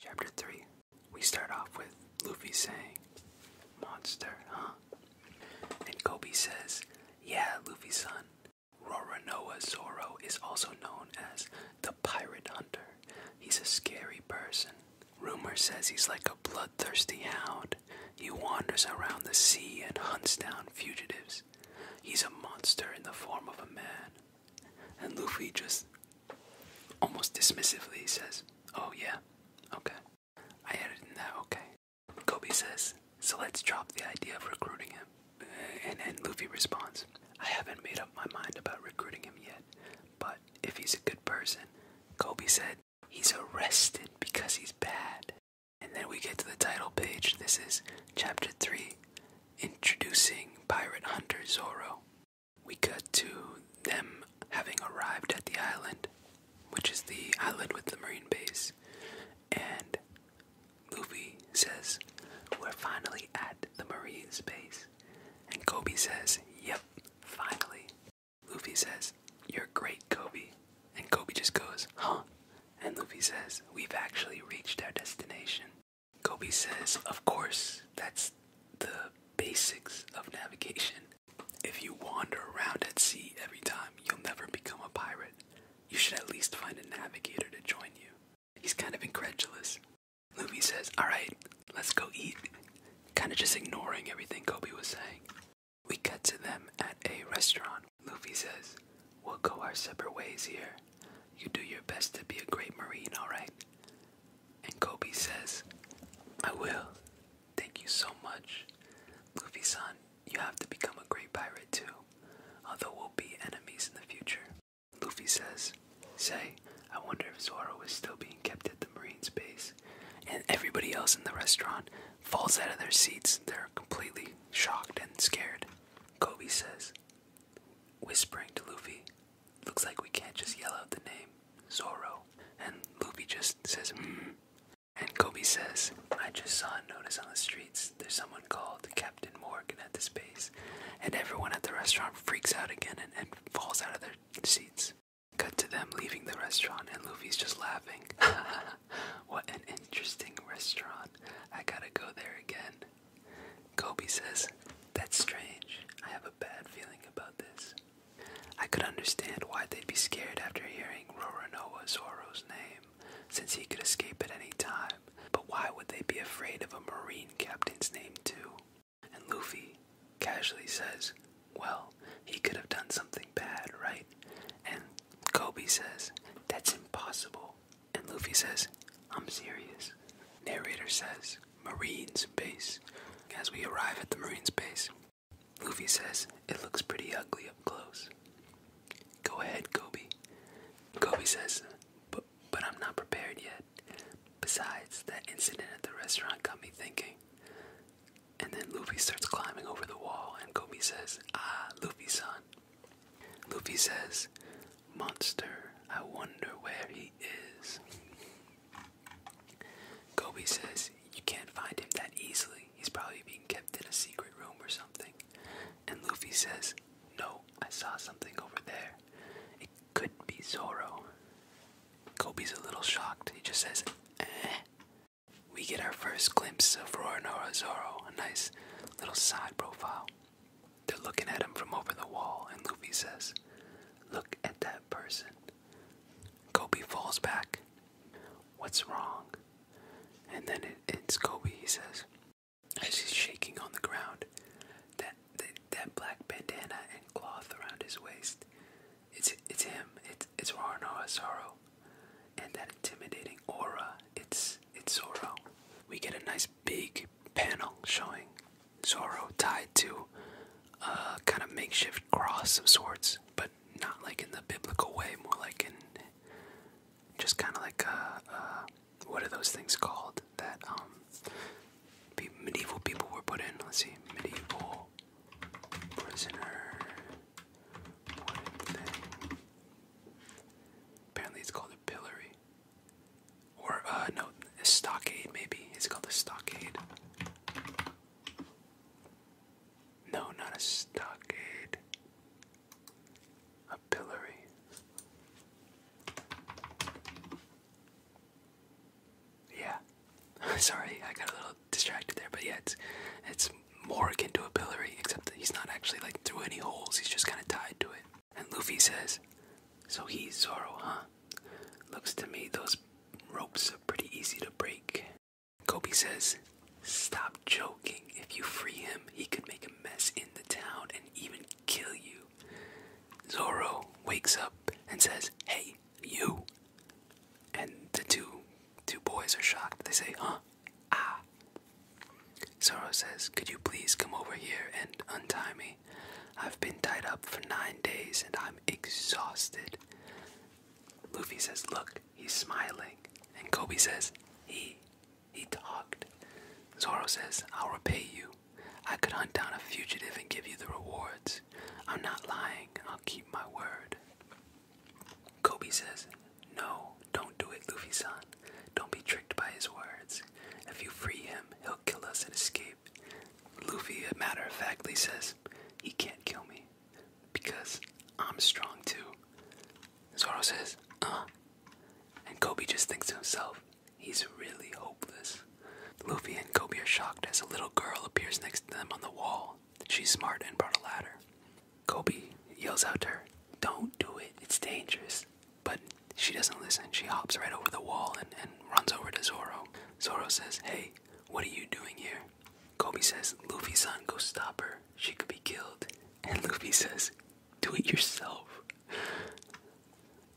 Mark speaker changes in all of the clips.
Speaker 1: Chapter 3. We start off with Luffy saying, Monster, huh? And Kobe says, Yeah, Luffy's son. Roronoa Zoro is also known as the Pirate Hunter. He's a scary person. Rumor says he's like a bloodthirsty hound. He wanders around the sea and hunts down fugitives. He's a monster in the form of a man. And Luffy just almost dismissively says, Oh, yeah, okay. I added that, okay. Kobe says, So let's drop the idea of recruiting him. Uh, and, and Luffy responds, I haven't made up my mind about recruiting him yet, but if he's a good person, Koby said, he's arrested because he's bad. And then we get to the title page. This is Chapter 3 Introducing Pirate Hunter Zoro. We cut to them having arrived at the island, which is the island with the marine base, and Luffy says, We're finally at the marine base. And Kobe says, Yep, finally. Luffy says, You're great, Kobe. And Kobe just goes, Huh? And Luffy says, We've actually reached our destination. Koby says, Of course, that's the basics of navigation. If you wander around at sea every time, you'll never become a pirate. You should at least find a navigator to join you. He's kind of incredulous. Luffy says, Alright, let's go eat. Kind of just ignoring everything Koby was saying. We cut to them at a restaurant. Luffy says, We'll go our separate ways here. You do your best to be a great Marine, alright? And Kobe says, I will. Thank you so much. Luffy san, you have to become a great pirate too, although we'll be enemies in the future. Luffy says, Say, I wonder if Zoro is still being kept at the Marines base. And everybody else in the restaurant falls out of their seats. They're completely shocked and scared. Kobe says, whispering to Luffy, Looks like we can't just yell out the name, Zorro. And Luffy just says, hmm. And Koby says, I just saw a notice on the streets. There's someone called Captain Morgan at the base. And everyone at the restaurant freaks out again and, and falls out of their seats. Cut to them leaving the restaurant, and Luffy's just laughing. what an interesting restaurant. I gotta go there again. Koby says, That's strange. I have a bad feeling about this. I could understand why they'd be scared after hearing Roronoa Zoro's name, since he could escape at any time, but why would they be afraid of a Marine captain's name, too? And Luffy casually says, Well, he could have done something bad, right? And Koby says, That's impossible. And Luffy says, I'm serious. Narrator says, Marines base. As we arrive at the Marines base, Luffy says, It looks pretty ugly up close. Go ahead, Kobe. Kobe says, But, but I'm not prepared yet. Besides, that incident at the restaurant got me thinking. And then Luffy starts climbing over the wall, and Kobe says, Ah, Luffy son. Luffy says, Monster, I wonder where he is. Gobi says, You can't find him that easily. He's probably being kept in a secret room or something. And Luffy says, No, I saw something over there. It could be Zoro. Gobi's a little shocked. He just says, Eh. We get our first glimpse of Roronoa Zoro, a nice little side profile. They're looking at him from over the wall, and Luffy says, Look at that person. Kobe falls back. What's wrong? And then it's Kobe, he says, as he's shaking on the ground. That, that, black bandana and cloth around his waist. It's, it's him. It's, it's Rano Asaro. And that intimidating aura. It's, it's Zoro. We get a nice big panel showing Zorro tied to a kind of makeshift cross of sorts, but not like in the biblical way, more like in just kind of like a, what are those things called that um, medieval people were put in? Let's see, medieval prisoner wooden thing. Apparently, it's called a pillory. Or, uh, no, a stockade maybe. It's called a stockade? No, not a stockade. A pillory. Yeah. Sorry, I got a little distracted there, but yeah, it's it's more akin to a pillory, except that he's not actually like through any holes, he's just kinda tied to it. And Luffy says, So he's Zoro, huh? Looks to me those ropes are pretty easy to break. Kobe says, Stop joking. If you free him, he could make a mess in the town and even kill you. Zoro wakes up and says, Hey, you. And the two two boys are shocked. They say, Huh? Ah. Zoro says, Could you please come over here and untie me? I've been tied up for nine days and I'm exhausted. Luffy says, Look, he's smiling. And Kobe says, He, he talked. Zoro says, I'll repay you. I could hunt down a fugitive and give you the rewards. I'm not lying I'll keep my word. Kobe says, No, don't do it, Luffy san. Don't be tricked by his words. If you free him, he'll kill us and escape. Luffy, matter of factly, says, He can't kill me because I'm strong too. Zoro says, Uh. And Kobe just thinks to himself, He's really hopeless. Luffy and Kobe are shocked as a little girl appears next to them on the wall. She's smart and brought a ladder. Kobe yells out to her, Don't do it, it's dangerous. But she doesn't listen. She hops right over the wall and, and runs over to Zoro. Zoro says, Hey, what are you doing here? Kobe says, Luffy son, go stop her. She could be killed. And Luffy says, Do it yourself.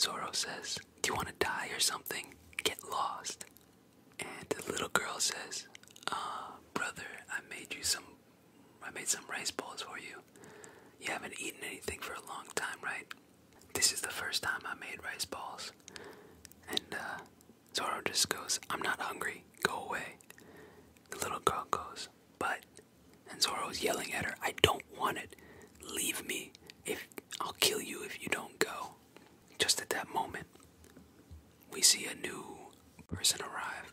Speaker 1: Zoro says, Do you want to die or something? Get lost. And the little girl says, uh, brother, I made you some I made some rice balls for you. You haven't eaten anything for a long time, right? This is the first time I made rice balls. And uh, Zorro just goes, I'm not hungry, go away. The little girl goes, but, and Zorro is yelling at her, I don't want it, leave me, if I'll kill you if you don't go. Just at that moment, we see a new person arrive.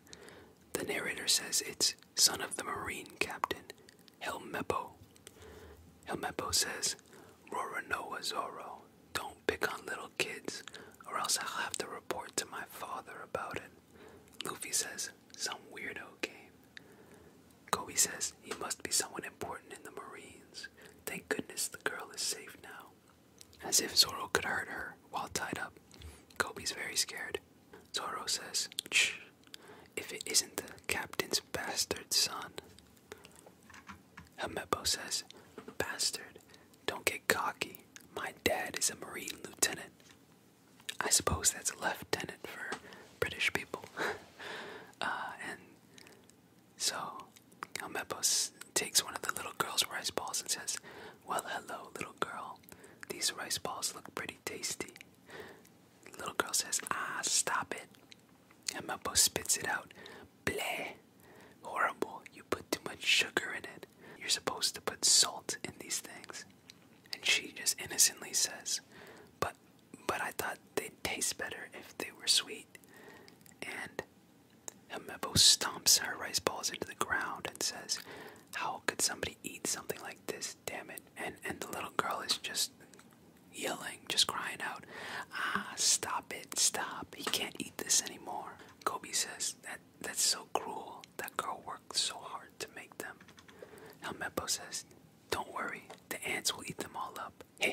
Speaker 1: The narrator says it's son of the Marine captain Helmeppo. Helmeppo says, Roronoa Zoro, don't pick on little kids, or else I'll have to report to my father about it. Luffy says, some weirdo game. Kobe says, he must be someone important in the Marines. Thank goodness the girl is safe now. As if Zoro could hurt her while tied up. Kobe's very scared. Zoro says, Shh, if it isn't the captain's bastard son. Hamebo says, Bastard, don't get cocky. My dad is a Marine lieutenant. I suppose that's lieutenant for British people. Uh, and so Hamebo takes one of the little girl's rice balls and says, Well, hello, little girl. These rice balls look pretty tasty. Little girl says, Ah, stop it. And Meppo spits it out. Bleh. Horrible. You put too much sugar in it. You're supposed to put salt in these things. And she just innocently says, But but I thought they'd taste better if they were sweet. And Himebo stomps her rice balls into the ground and says, How could somebody eat something like this? Damn it. And and the little girl is just yelling, just crying out, ah, stop it, stop, he can't eat this anymore. Kobe says, that that's so cruel, that girl worked so hard to make them. Helmeppo says, don't worry, the ants will eat them all up. the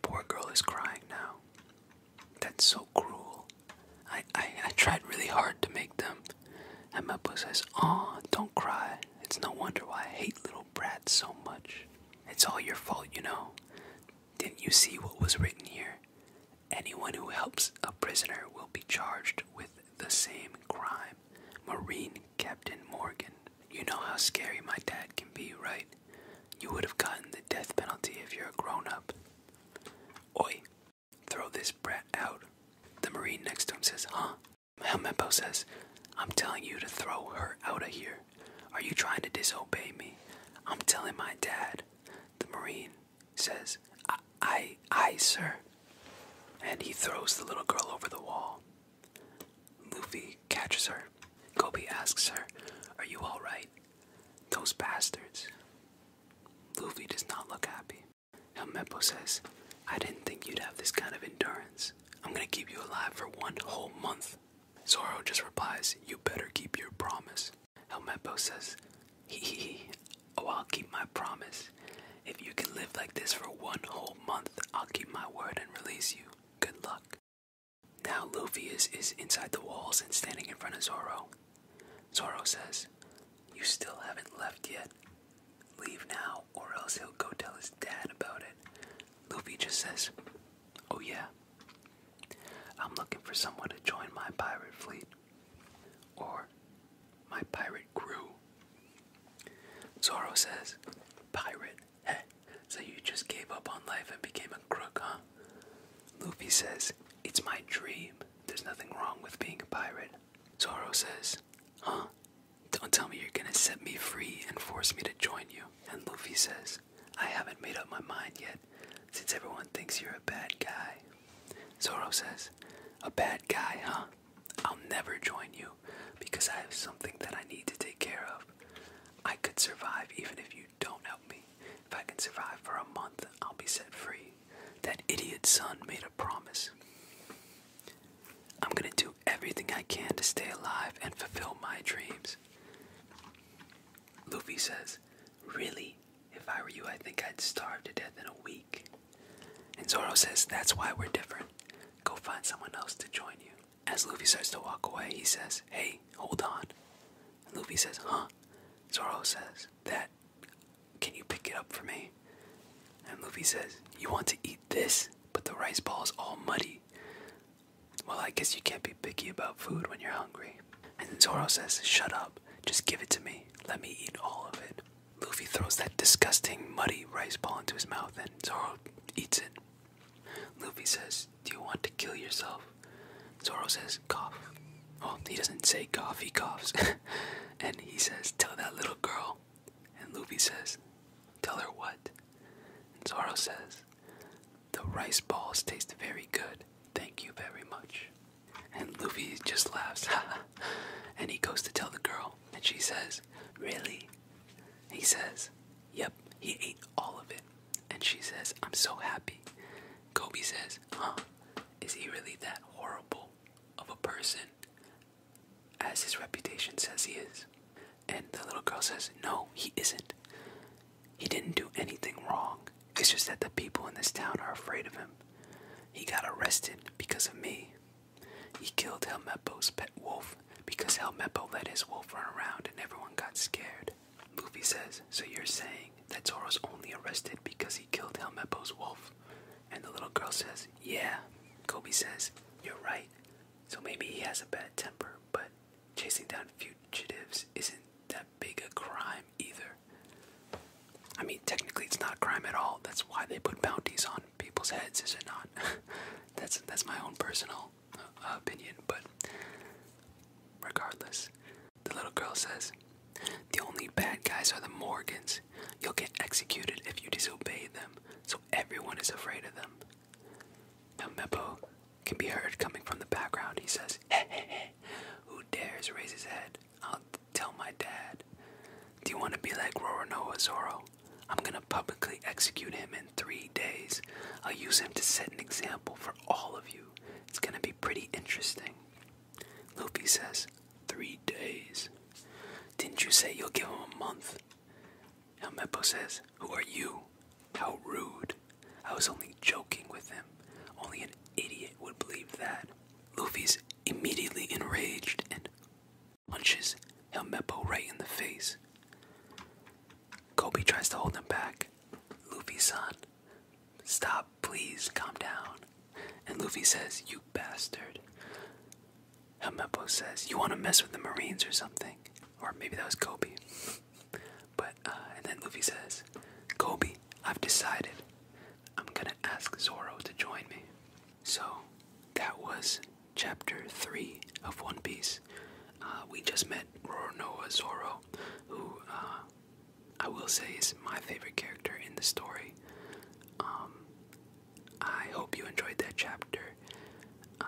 Speaker 1: poor girl is crying now. That's so cruel. I, I, I tried really hard to make them. Helmeppo says, aw, don't cry. It's no wonder why I hate little brat so much. It's all your fault, you know. Didn't you see what was written here? Anyone who helps a prisoner will be charged with the same crime. Marine Captain Morgan. You know how scary my dad can be, right? You would have gotten the death penalty if you're a grown up. Oi, throw this brat out. The Marine next to him says, Huh? Helmeppo says, I'm telling you to throw her out of here. Are you trying to disobey me? I'm telling my dad. The Marine says, I, I, sir. And he throws the little girl over the wall. Luffy catches her. Gobi asks her, Are you alright? Those bastards. Luffy does not look happy. Helmeppo says, I didn't think you'd have this kind of endurance. I'm gonna keep you alive for one whole month. Zoro just replies, You better keep your promise. Helmeppo says, Hee hee hee, oh, I'll keep my promise. If you can live like this for one whole month, I'll keep my word and release you. Good luck. Now Luffy is inside the walls and standing in front of Zoro. Zoro says, You still haven't left yet. Leave now, or else he'll go tell his dad about it. Luffy just says, Oh, yeah. I'm looking for someone to join my pirate fleet. Or my pirate crew. Zoro says, Pirate? Heh, so you just gave up on life and became a crook, huh? Luffy says, It's my dream. There's nothing wrong with being a pirate. Zoro says, Huh? Don't tell me you're gonna set me free and force me to join you. And Luffy says, I haven't made up my mind yet, since everyone thinks you're a bad guy. Zoro says, A bad guy, huh? I'll never join you, because I have something that I need to take care of. I could survive even if you don't help me. If I can survive for a month, I'll be set free. That idiot son made a promise. I'm gonna do everything I can to stay alive and fulfill my dreams. Luffy says, Really? If I were you, I think I'd starve to death in a week. And Zoro says, That's why we're different. Go find someone else to join you. As Luffy starts to walk away, he says, Hey, hold on. And Luffy says, Huh? Zoro says, That, can you pick it up for me? And Luffy says, You want to eat this, but the rice ball is all muddy. Well, I guess you can't be picky about food when you're hungry. And then Zoro says, Shut up, just give it to me. Let me eat all of it. Luffy throws that disgusting, muddy rice ball into his mouth, and Zoro eats it. Luffy says, Do you want to kill yourself? Zoro says, Cough. Well, he doesn't say cough, he coughs. and he says, Tell that little girl. And Luffy says, Tell her what? And Zorro says, The rice balls taste very good. Thank you very much. And Luffy just laughs, and he goes to tell the girl, and she says, Really? He says, Yep, he ate all of it. And she says, I'm so happy. Kobe says, Huh? Is he really that horrible of a person? as his reputation says he is. And the little girl says, No, he isn't. He didn't do anything wrong. It's just that the people in this town are afraid of him. He got arrested because of me. He killed Helmeppo's pet wolf because Helmeppo let his wolf run around and everyone got scared. Luffy says, So you're saying that Zoro's only arrested because he killed Helmeppo's wolf? And the little girl says, Yeah. Kobe says, You're right. So maybe he has a bad temper, but chasing down fugitives isn't that big a crime either. I mean, technically, it's not a crime at all. That's why they put bounties on people's heads, is it not? that's that's my own personal uh, opinion, but regardless, the little girl says, "The only bad guys are the Morgans. You'll get executed if you disobey them. So everyone is afraid of them. Now Meppo can be heard coming from the background. He says, hey, Who dares raise his head? I'll tell my dad. Do you want to be like Roronoa Zoro? I'm gonna publicly execute him in three days. I'll use him to set an example for all of you. It's gonna be pretty interesting. Luffy says, "Three days. Didn't you say you'll give him a month? Now says, Who are you? How rude. I was only joking with him. Only an idiot would believe that. Luffy's immediately enraged and punches Helmeppo right in the face. Kobe tries to hold him back. Luffy, son, stop, please, calm down. And Luffy says, You bastard. Helmeppo says, You want to mess with the Marines or something? Or maybe that was Kobe. but, uh, and then Luffy says, Kobe, I've decided. I'm gonna ask Zoro to join me. So, that was chapter 3 of One Piece. Uh, we just met Roronoa Zoro, who uh, I will say is my favorite character in the story. Um, I hope you enjoyed that chapter. Uh,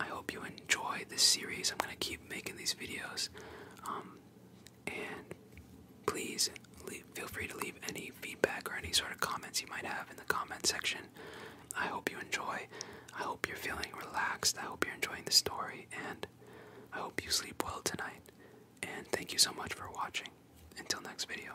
Speaker 1: I hope you enjoy this series. I'm going to keep making these videos. Um, and please feel free to leave any feedback or any sort of comments you might have in the comment section. I hope you enjoy. I hope you're feeling relaxed. I hope you're enjoying the story. And I hope you sleep well tonight. And thank you so much for watching. Until next video.